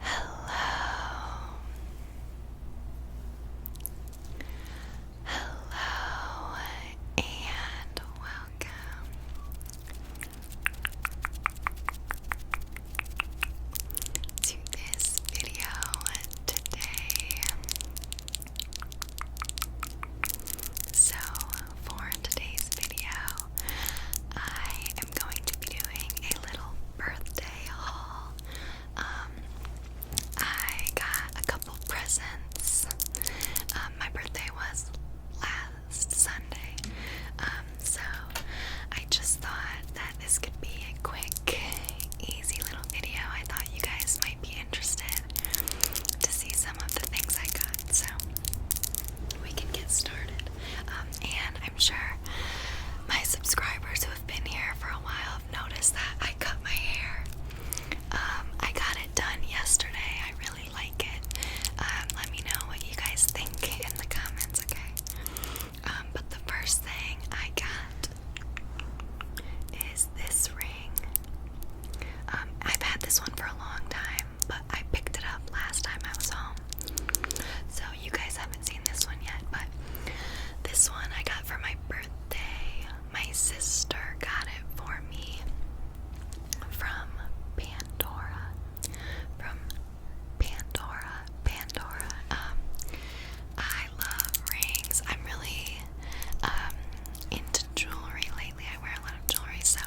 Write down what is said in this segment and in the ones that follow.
Hello. Hello and welcome. To this video today. So, for today's video, I am going to be doing a little birthday haul. Um, I got a couple presents. Um, my birthday was last Sunday, um, so I just thought that this could be a quick, easy little video. I thought you guys might be interested to see some of the things I got, so we can get started. Um, and I'm sure my subscribers who have been here for a while have noticed that I cut my hair. Um, I got it done yesterday. I really like it. Um, let me know what you guys think in the comments, okay? but the first thing I got is this ring. I've had this one for a long time but I picked it up last time I was home. So you guys haven't seen this one yet, but this one I got for my birthday. My sister got it for me from Pandora. From Pandora. Pandora. Um, I love rings. I'm really um into jewelry lately. I wear a lot of jewelry, so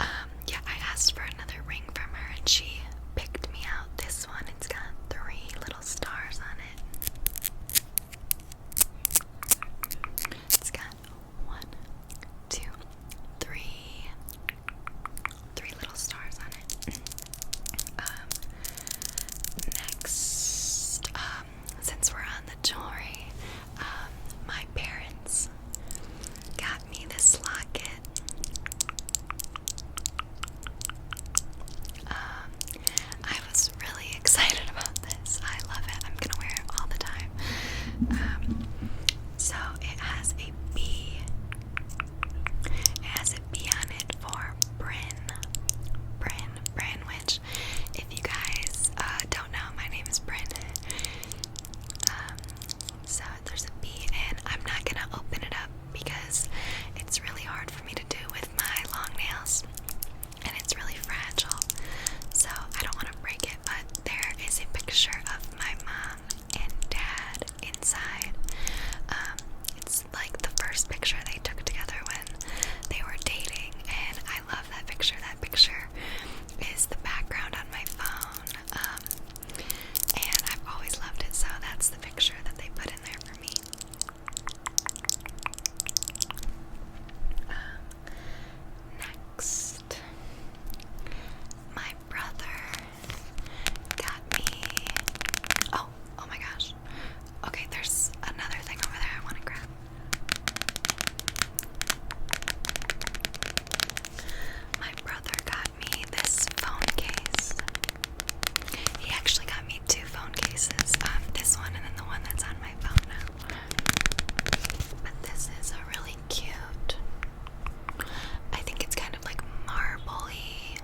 um, yeah, I asked for another ring from her and she picked me out this one. It's got three little stars on it. It's got one, two, three, three little stars on it. Um, next, um, since we're on the um, my parents got me this locket. Um, I was really excited about this. I love it. I'm gonna wear it all the time. Um, so it has a B. It has a B on it for Bryn. Bryn, Bryn, which if you guys uh, don't know, my name is Bryn. Um, so there's a B, and I'm not gonna open it up because it's really hard for me to do with my long nails, and it's really fragile. So I don't want to break it. But there is a picture of my mom and dad inside. Um, it's like the first picture they took together when they were dating, and I I love that picture. That picture is the background on my phone. Um, and I've always loved it, so that's the picture that they put in there for me. next, my brother got me. Oh, oh my gosh. Okay, there's another thing over there I want to grab. My brother got me this phone case. He actually got me two phone cases. Um, this one and then the one that's on my phone now. But this is a really cute. I think it's kind of like marbly.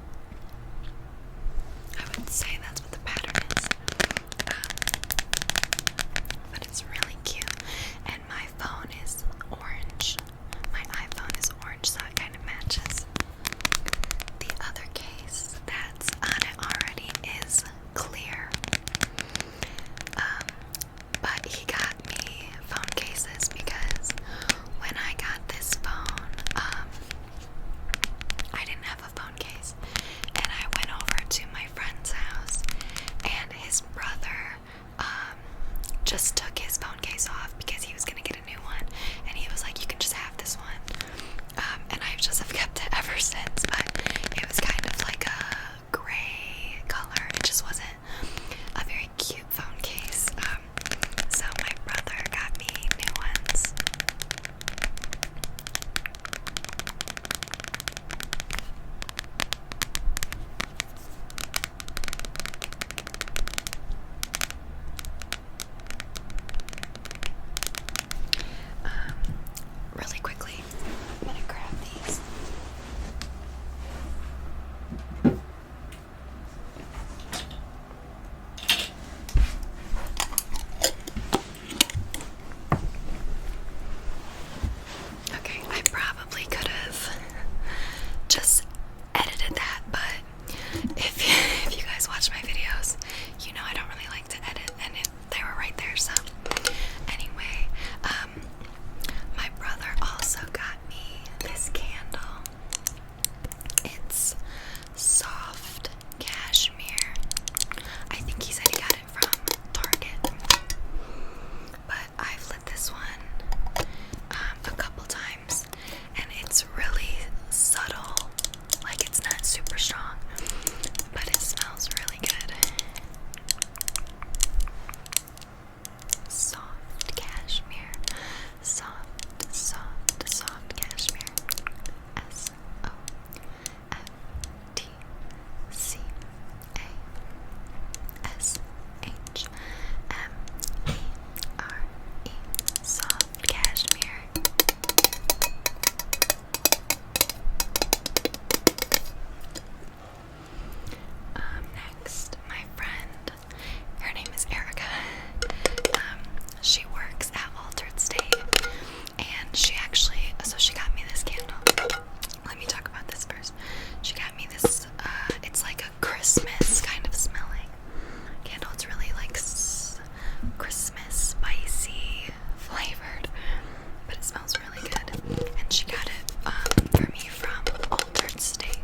I would say that's what the pattern is but it's really cute. And my phone is orange. My iPhone is orange, so it kind of matches. The other case that's on it already is clear. Um, but he got me phone cases because when I got this phone, um, I didn't have a phone case. And I went over to my friend's house, and his brother um, just took his phone case off because he was gonna get a new one. And he was like, "You can just have this one." Um, and I just have kept it ever since. But it was kind of like a gray color. It just wasn't a very cute phone case. Um, so my brother got me new ones. Um, really quickly, I'm gonna grab these. Okay, I probably could have just edited that, but if if you guys watch my videos, you know I don't really like to edit, and it, they were right there. So anyway, um, my brother also got me this candle. It's soft cashmere. I think he said he got it from Target. But I've lit this one um, a couple times and it's really subtle. Like it's not super strong, but it smells really good. Soft cashmere. Soft, soft, soft cashmere. S O F T C A S H M E R E soft cashmere. Um, next, my friend, her name is Erica. Um, she works at Altered State, and she actually so she got me this candle. Let me talk about this first. She got me this. Uh, it's like a Christmas kind of smelling candle. It's really like s Christmas spicy flavored, but it smells really good. And she got it um, for me from Altered State.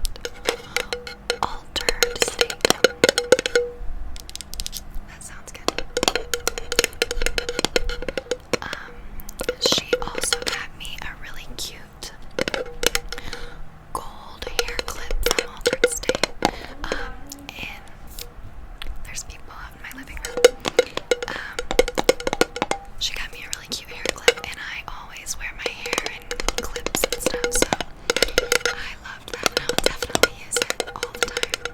Um, altered state. That sounds good. Um, she also got me a really cute gold hair clip from Altered State. Um, and there's people out in my living room. Um, she got me a really cute hair clip, and I always wear my hair clips and stuff, so I loved that I'll definitely use it all the time.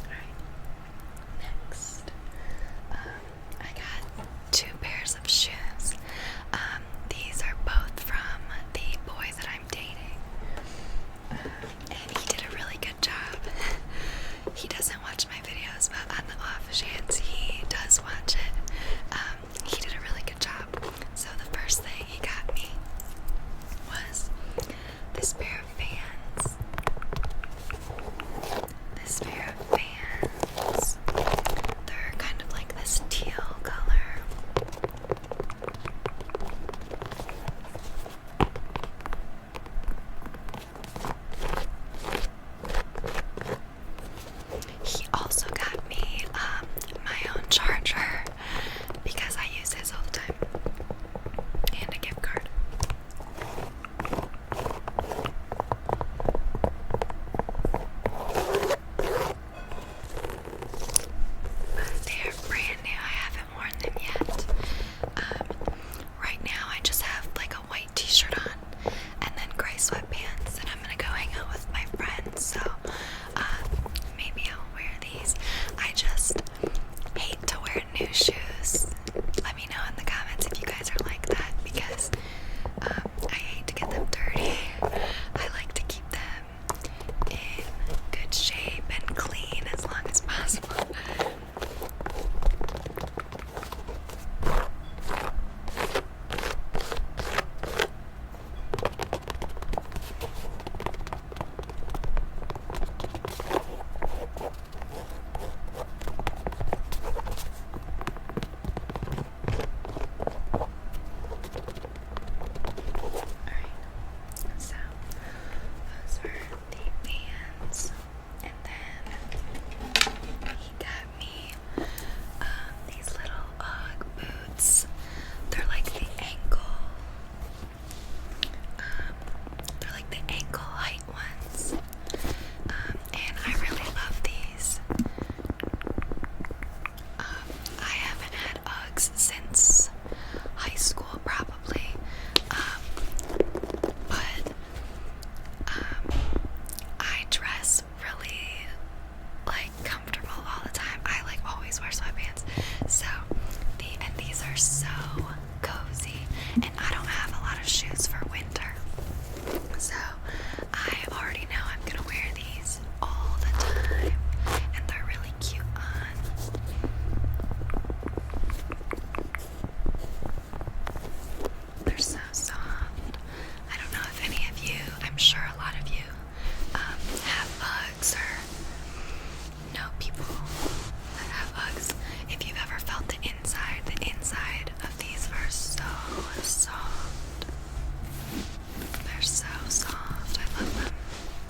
Alright, next. Um, I got two pairs of shoes. Um, these are both from the boy that I'm dating. Um, and he did a really good job. he doesn't watch my videos, but on the off chance he does watch it, um, he did a really good job. So the first thing he got me was this pair of pants. This pair of pants. They're kind of like this teal color. He also got me um, my own charger because I use his all the time and a gift card. They are brand new. I haven't um, right now, I just have like a white t shirt on and then gray sweatpants, and I'm gonna go hang out with my friends, so um, maybe I'll wear these. I just hate to wear new shoes. Let me know in the comments if you guys are like that because um, I hate to get them dirty. I like to keep them in good shape and clean as long as possible. Alright, so those are the bands. And then he got me these little Ugg boots. They're like the ankle, um, they're like the ankle height ones. Um, and I really love these. Um, I haven't had Uggs since high school, probably. Um, but um, I dress really like comfortable all the time. I like always wear sweatpants. So the and these are so cozy, and I don't have a lot of shoes for winter. So I already know I'm gonna wear these all the time, and they're really really cute on. They're so soft. I don't know if any of you, I'm sure a lot of you, um, have Uggs or know people that have Uggs. If you've ever felt the inside, the inside of these are so soft. They're so soft. I love them.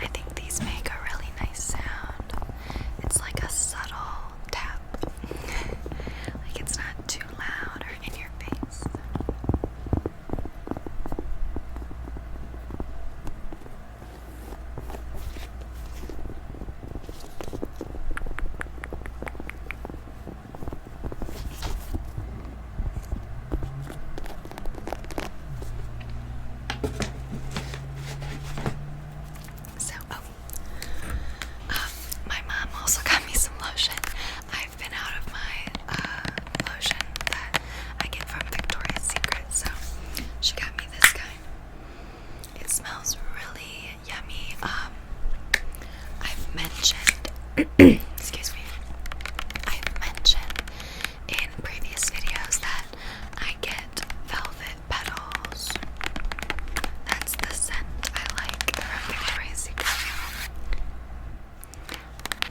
I think these make a really nice sound. It's like a subtle tap, like it's not too loud or in your face. So, oh, um, my mom also got me some lotion. I've been out of my uh, lotion that I get from Victoria's Secret, so she got me this kind. It smells really yummy. Um, I've mentioned, excuse me, I've mentioned in previous videos that I get velvet petals. That's the scent I like from Victoria's Secret.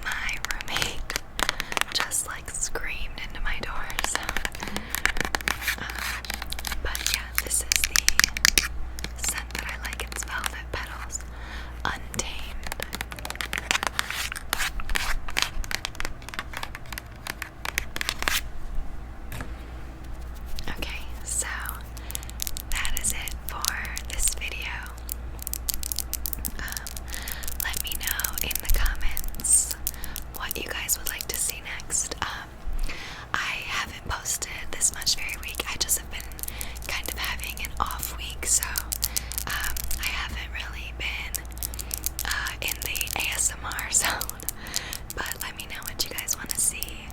My roommate just like screamed into my door, uh, but yeah, this is the scent that I like. It's velvet petals. Untamed. Okay, so that is it for this video. Um, let me know in the comments what you guys would like to see next. Um, I haven't posted this much every week. I just have been kind of having an off week, so um, I haven't really been uh, in the ASMR zone. But let me know what you guys want to see.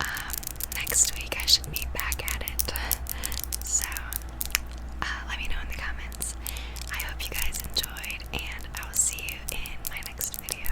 Um, next week I should be back at it. So uh, let me know in the comments. I hope you guys enjoyed, and I will see you in my next video.